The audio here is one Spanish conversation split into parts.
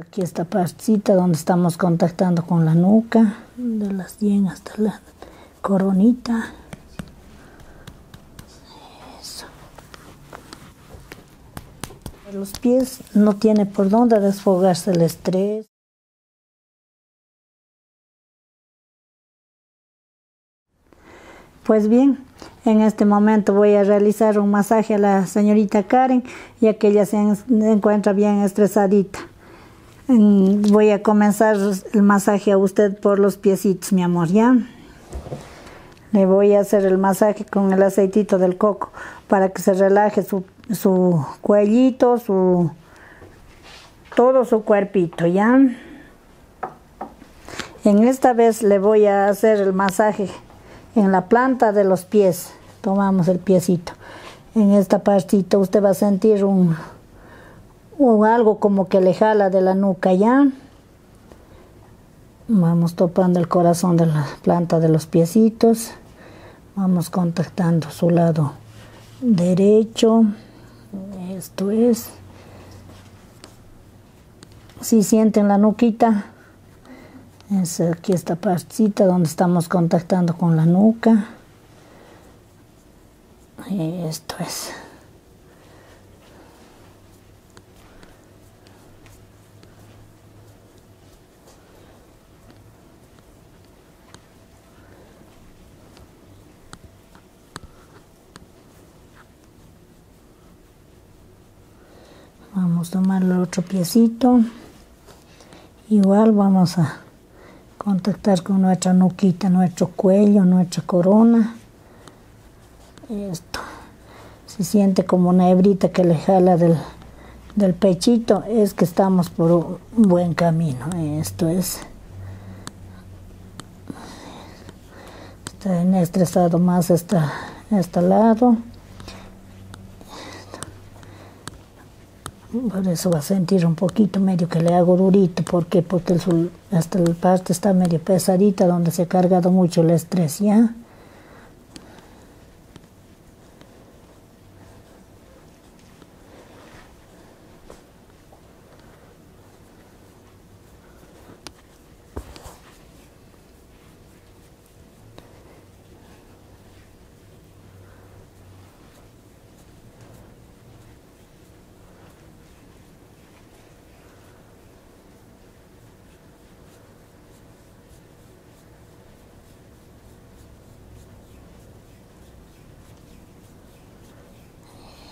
Aquí esta partecita donde estamos contactando con la nuca, de las 10 hasta la coronita. Eso. Los pies no tiene por dónde desfogarse el estrés. Pues bien, en este momento voy a realizar un masaje a la señorita Karen y aquella se, encuentra bien estresadita. Voy a comenzar el masaje a usted por los piecitos, mi amor, ¿ya? Le voy a hacer el masaje con el aceitito del coco para que se relaje su, cuellito, su todo su cuerpito, ¿ya? En esta vez le voy a hacer el masaje en la planta de los pies tomamos el piecito. En esta partita usted va a sentir un, o algo como que le jala de la nuca ya. Vamos topando el corazón de la planta de los piecitos. Vamos contactando su lado derecho. Esto es. Si sienten la nuquita, es aquí esta partita donde estamos contactando con la nuca. Y esto es. Vamos a tomar otro piecito. Igual vamos a contactar con nuestra nuquita, nuestro cuello, nuestra corona. Esto. Se siente como una hebrita que le jala del, pechito. Es que estamos por un buen camino. Esto es. Está en estresado más esta, este lado. Por eso va a sentir un poquito medio que le hago durito, Porque el, hasta la parte está medio pesadita donde se ha cargado mucho el estrés, ¿ya?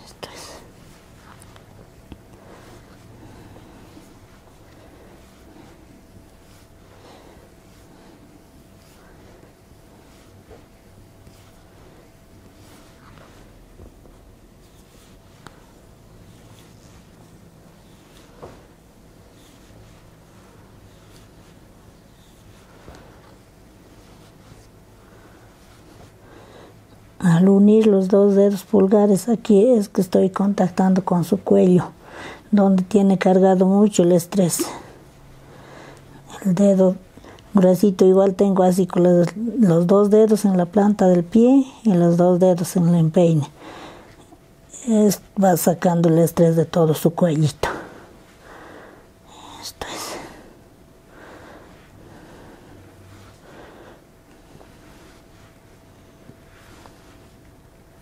Esto es. Al unir los dos dedos pulgares aquí es que estoy contactando con su cuello donde tiene cargado mucho el estrés. El dedo gruesito igual tengo así con los, dos dedos en la planta del pie y los dos dedos en el empeine. Es, va sacando el estrés de todo su cuellito.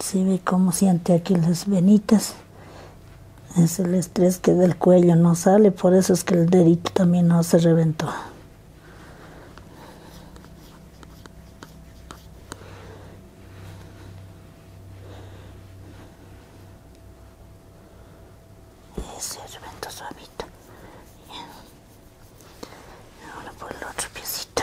Si ve cómo siente aquí las venitas. Es el estrés que del cuello no sale, por eso es que el dedito también no se reventó y se reventó suavito Bien. ahora por el otro piecito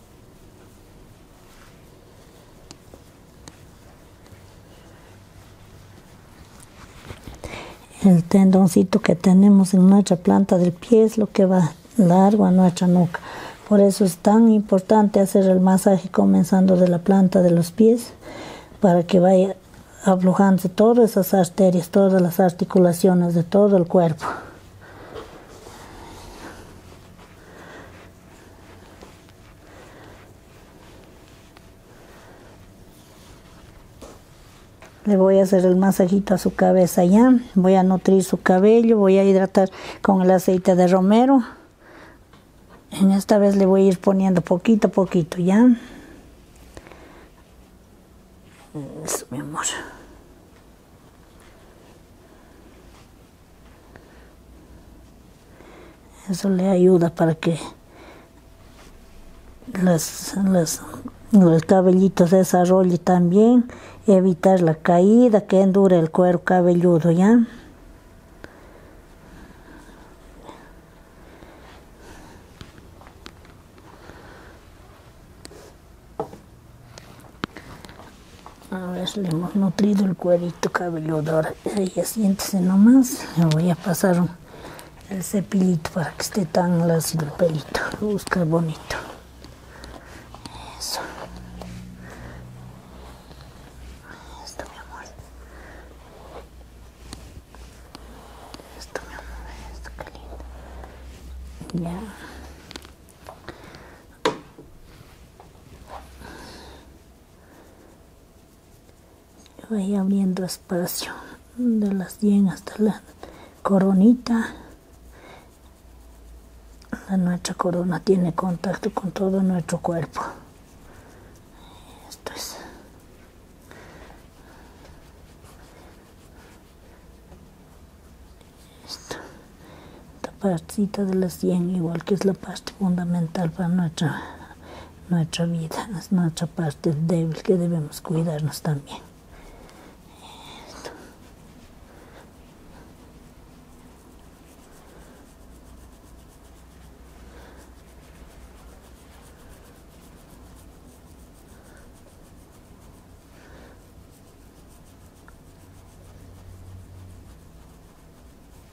El tendoncito que tenemos en nuestra planta del pie es lo que va largo a nuestra nuca. Por eso es tan importante hacer el masaje comenzando de la planta de los pies para que vaya aflojando todas esas arterias, todas las articulaciones de todo el cuerpo. Le voy a hacer el masajito a su cabeza ya. Voy a nutrir su cabello, voy a hidratar con el aceite de romero. En esta vez le voy a ir poniendo poquito a poquito ya. mi amor. Eso le ayuda para que los cabellitos desarrollen también, evitar la caída, que endure el cuero cabelludo, ¿ya? A Ahora le hemos nutrido el cuerito cabelludo. Ahora ella siéntese nomás. Le voy a pasar el cepillito para que esté tan lacio el pelito. Busca bonito. Eso. Esto, mi amor. Esto, mi amor. Esto, qué lindo. Ya voy abriendo espacio de las 10 hasta la coronita la nuestra corona tiene contacto con todo nuestro cuerpo esto es esta partecita de la sien igual que es la parte fundamental para nuestra nuestra vida es nuestra parte débil que debemos cuidarnos también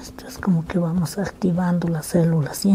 Esto es como que vamos activando las células, ¿sí?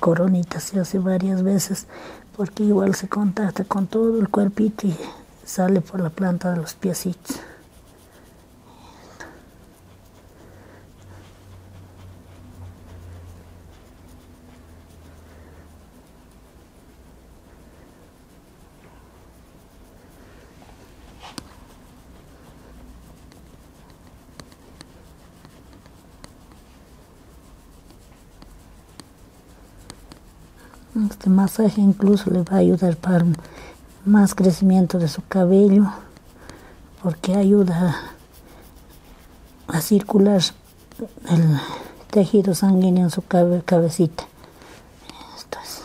coronita se hace varias veces porque igual se contacta con todo el cuerpito y sale por la planta de los piecitos. Este masaje incluso le va a ayudar para más crecimiento de su cabello porque ayuda a circular el tejido sanguíneo su cabeza, cabecita. Esto es.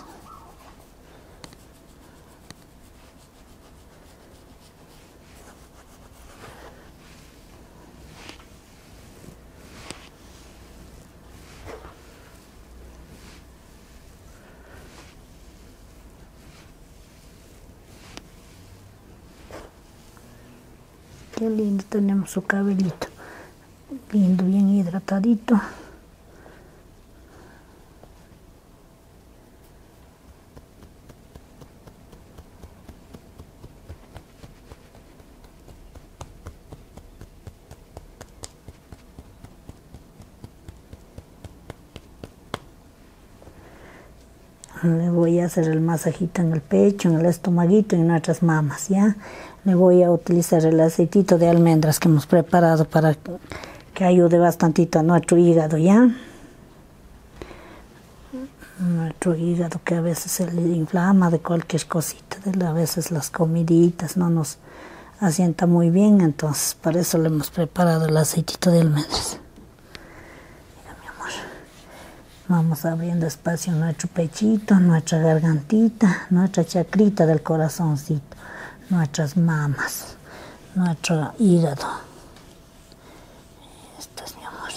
Qué lindo tenemos su cabellito. Lindo, bien hidratadito. le voy a hacer el masajito en pecho, en el estomaguito y en nuestras mamas, ¿ya? Le voy a utilizar el aceitito de almendras que hemos preparado para que ayude bastantito a nuestro hígado, ¿ya? Nuestro hígado que a veces se le inflama de cualquier cosita, de a veces las comiditas no nos asienta muy bien, entonces para eso le hemos preparado el aceitito de almendras. mi amor. Vamos abriendo espacio nuestro pechito, nuestra gargantita, nuestra chacrita del corazoncito, nuestras mamas, nuestro hígado. Esto es mi amor.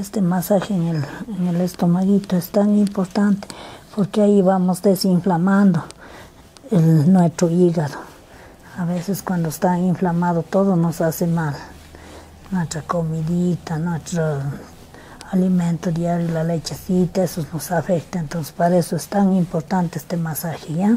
Este masaje en el, estomaguito es tan importante porque ahí vamos desinflamando nuestro hígado a veces cuando está inflamado todo nos hace mal. Nuestra comidita, nuestro alimento diario, la lechecita, eso nos afecta. Entonces para eso es tan importante este masaje, ¿ya?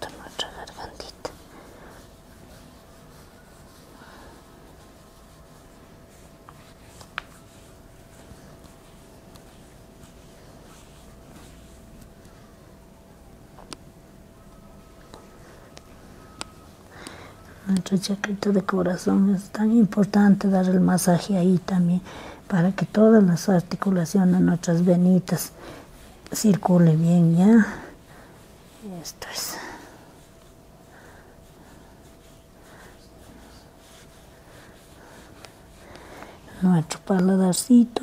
To może Herwandit. Aceste acredite de corazón Jest tan importante dar el masaje ahí también. para que todas las articulaciones, nuestras venitas, circule bien ya. Esto es. Nuestro paladarcito.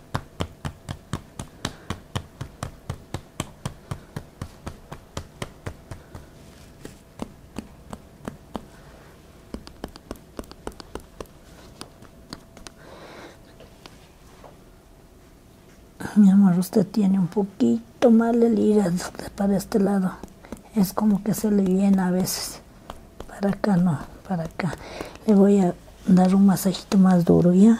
Mi amor, usted tiene un poquito mal el hígado para este lado. Es como que se le llena a veces para acá no para acá le voy a dar un masajito más duro ya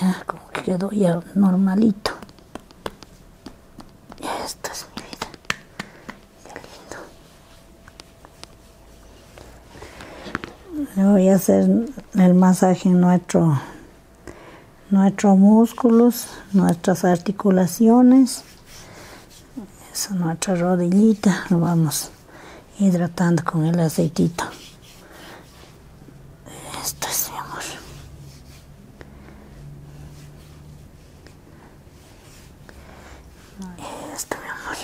ya como que quedó ya normalito esta es mi vida qué lindo le voy a hacer el masaje en nuestro nuestros músculos nuestras articulaciones nuestra rodillita lo vamos hidratando con el aceitito esto es mi amor. Esto, mi amor.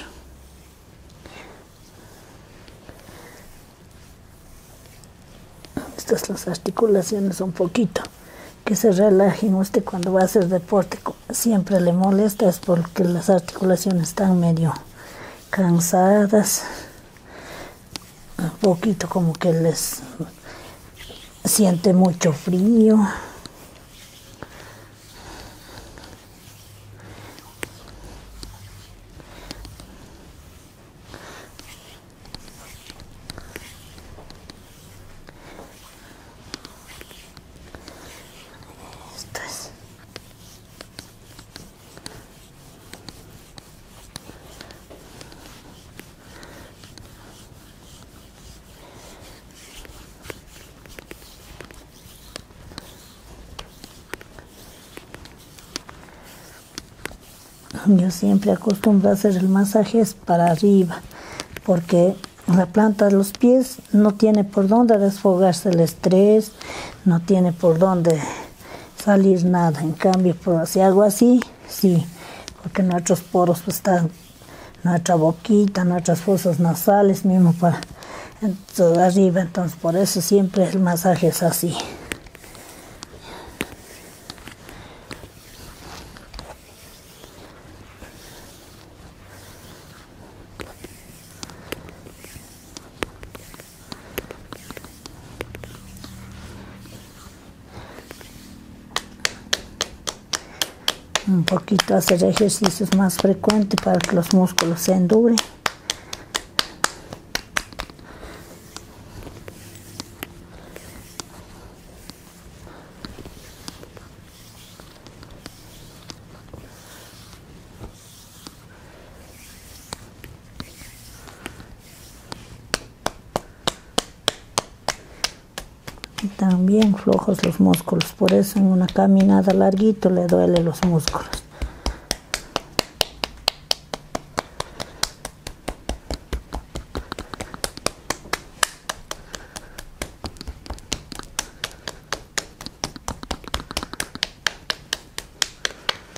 Estas las articulaciones un poquito. Que se relajen usted cuando va a hacer deporte. Siempre le molesta es porque las articulaciones están medio cansadas un poquito como que les siente mucho frío yo siempre acostumbro a hacer el masaje es para arriba porque la planta de los pies no tiene por dónde desfogarse el estrés no tiene por dónde salir nada. En cambio, pues, si hago así, sí, porque nuestros poros pues, están, nuestra boquita, nuestras fosas nasales, mismo para toda arriba. Entonces, por eso siempre el masaje es así un poquito hacer ejercicios más frecuentes para que los músculos se enduren también flojos los músculos por eso en una caminada larguito le duele los músculos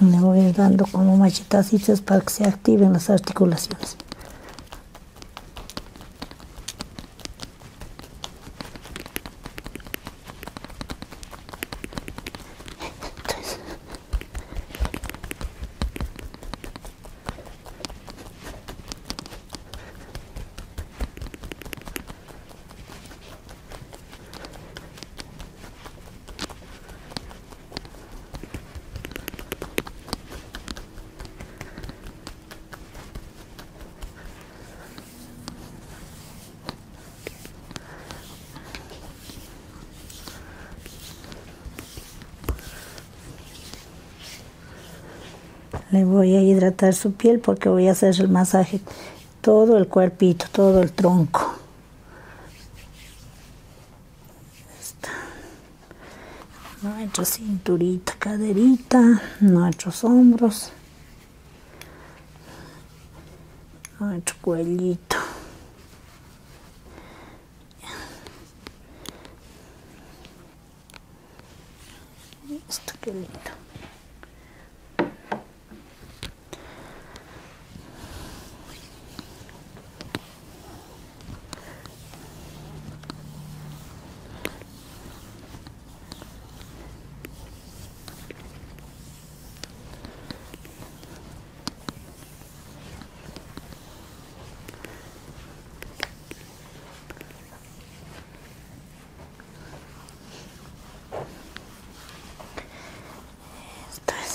Le voy dando como machetacitos para que se activen las articulaciones. Le voy a hidratar su piel porque voy a hacer el masaje todo el cuerpito, todo el tronco. Está. Nuestra cinturita, caderita, nuestros hombros, nuestro cuellito. Esto esto es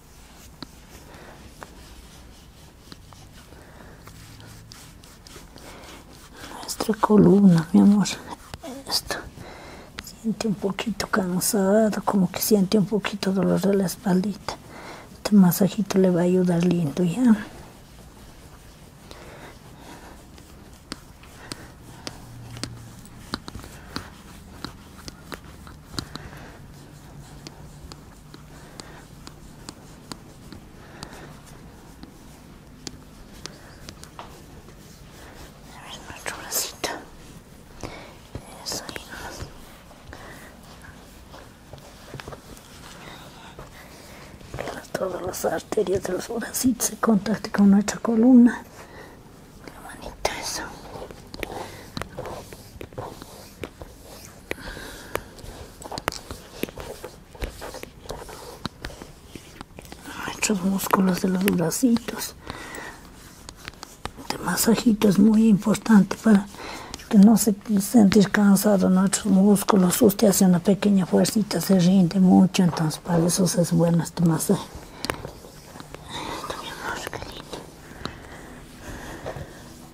nuestra columna mi amor esto siente un poquito cansado como que siente un poquito dolor de la espalda este masajito le va a ayudar lindo ya a ver nuestro bracito. Eso ahí Todas las arterias de los bracitos se contactan con nuestra columna. La manita, eso nuestros músculos de los bracitos. Este masajito es muy importante para que no se sentir cansado nuestros músculos. Usted hace una pequeña fuercita, se rinde mucho, entonces para eso es bueno este masaje.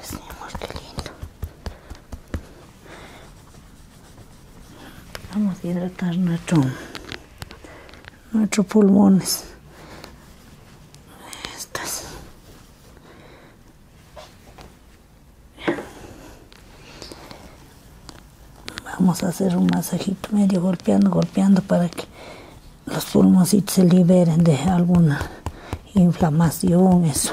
es muy lindo. Vamos a hidratar nuestro, nuestros pulmones. Estas. Vamos a hacer un masajito medio golpeando, golpeando para que los pulmones se liberen de alguna inflamación, eso.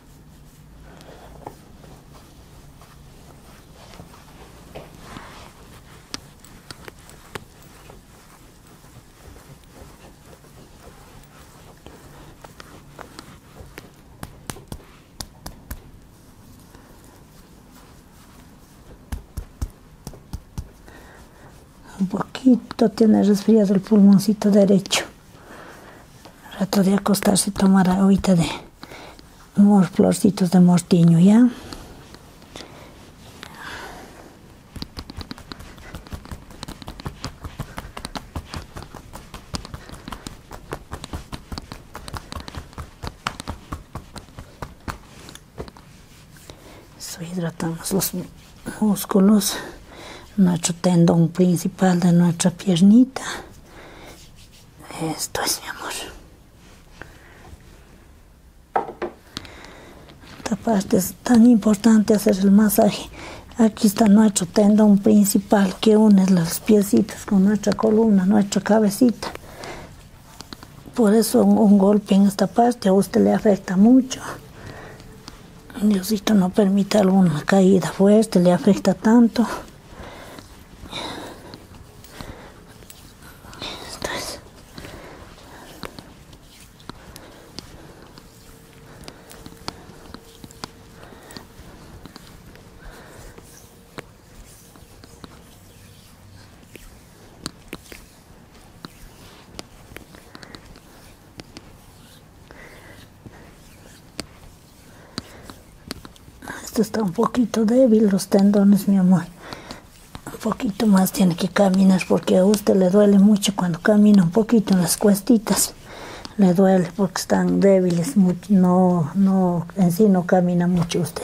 un poquito tiene resfriado el pulmoncito derecho. Rato de acostarse y tomar ahorita de unos florcitos de mortiño, ¿ya? Eso hidratamos los músculos nuestro tendón principal de nuestra piernita. Esto es, mi amor. Esta parte es tan importante hacer el masaje. Aquí está nuestro tendón principal que une las piecitas con nuestra columna, nuestra cabecita. Por eso un golpe en esta parte a usted le afecta mucho. Diosito no permite alguna caída fuerte, le afecta tanto. Esto está un poquito débil, los tendones, mi amor. Un poquito más tiene que caminar porque a usted le duele mucho cuando camina un poquito en las cuestitas. Le duele porque están débiles, no, no, en sí no camina mucho usted.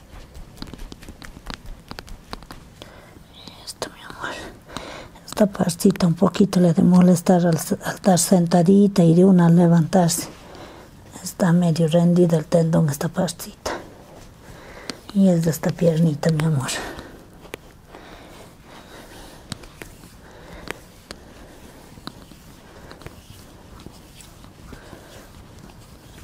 Esto, mi amor. Esta pastita un poquito le de molestar al, estar sentadita y de una al levantarse. Está medio rendida el tendón esta pastita. Y es de esta piernita, mi amor.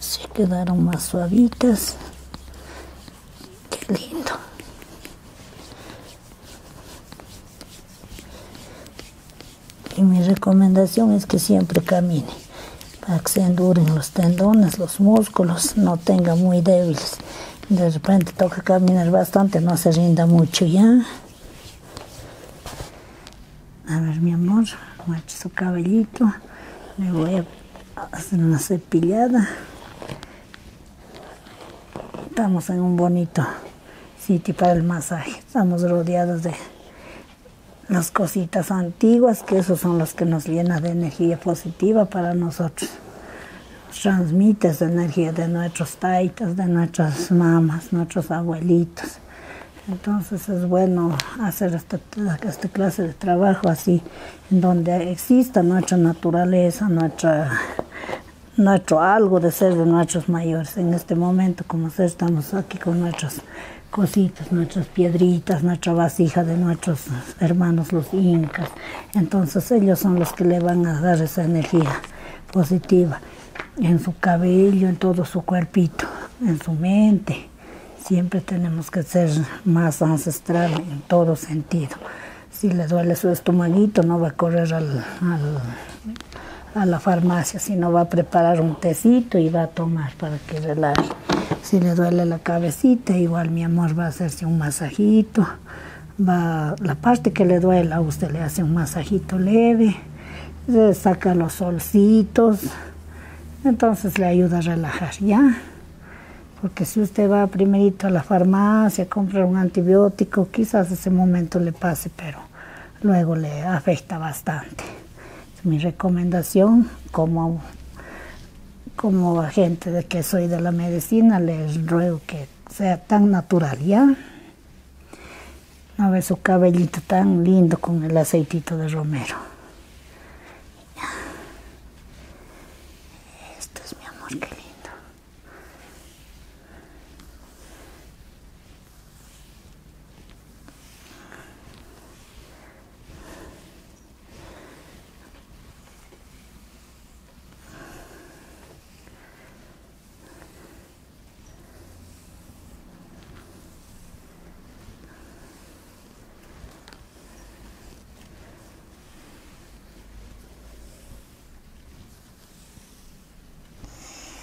Se quedaram mais suavitas. que lindo. Y mi recomendación es que siempre camine para que se enduren los tendones, los músculos, no tenga muy débiles. De repente toca caminar bastante, no se rinda mucho ya. A ver, mi amor, muestra su cabellito. Le voy a hacer una cepillada. Estamos en un bonito sitio para el masaje. Estamos rodeados de las cositas antiguas, que esos son los que nos llenan de energía positiva para nosotros. Transmite esa energía de nuestros taitas, de nuestras mamás, nuestros abuelitos. Entonces es bueno hacer esta, este clase de trabajo así, en donde exista nuestra naturaleza, nuestra, nuestro algo de ser de nuestros mayores. En este momento, como estamos aquí con nuestros cositas, nuestras piedritas, nuestra vasija de nuestros hermanos los incas. Entonces ellos son los que le van a dar esa energía positiva en su cabello, en todo su cuerpito, en su mente. Siempre tenemos que ser más ancestral en todo sentido. Si le duele su estomaguito, no va a correr al, al a la farmacia, si no va a preparar un tecito y va a tomar para que relaje. Si le duele la cabecita, igual mi amor va a hacerse un masajito, va la parte que le duela, usted le hace un masajito leve, le saca los solcitos, entonces le ayuda a relajar, ¿ya? Porque si usted va primerito a la farmacia, compra un antibiótico, quizás ese momento le pase, pero luego le afecta bastante. Es mi recomendación como, como agente de que soy de la medicina, les ruego que sea tan natural, ¿ya? ¡una su cabellito tan lindo con el aceitito de romero. Esto es mi amor, qué lindo.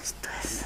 Esto es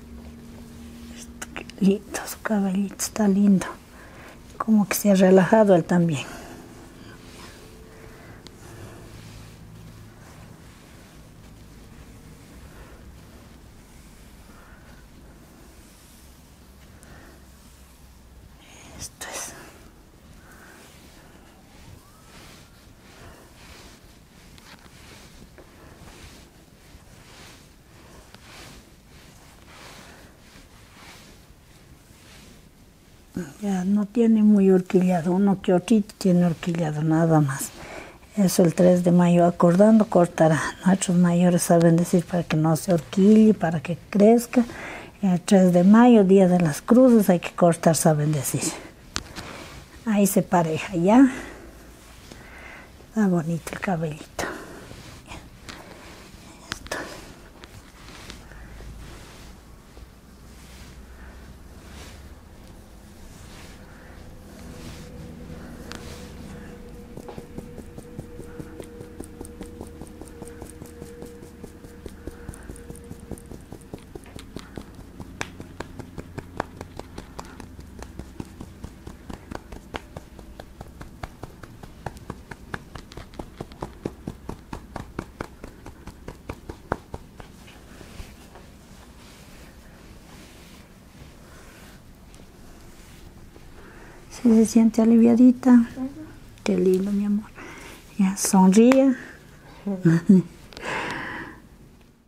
Este, lindo, su caballito está lindo. Como que se ha relajado él también. Esto es. Ya no tiene muy horquillado, uno que otro tiene horquillado nada más. Eso el 3 de mayo, acordando cortará. Nuestros mayores saben decir para que no se horquille, para que crezca. El 3 de mayo, día de las cruces, hay que cortar, saben decir. Ahí se pareja ya. Está ah, bonito el cabellito. Si se siente aliviadita, que lindo, mi amor. Ya, sonríe.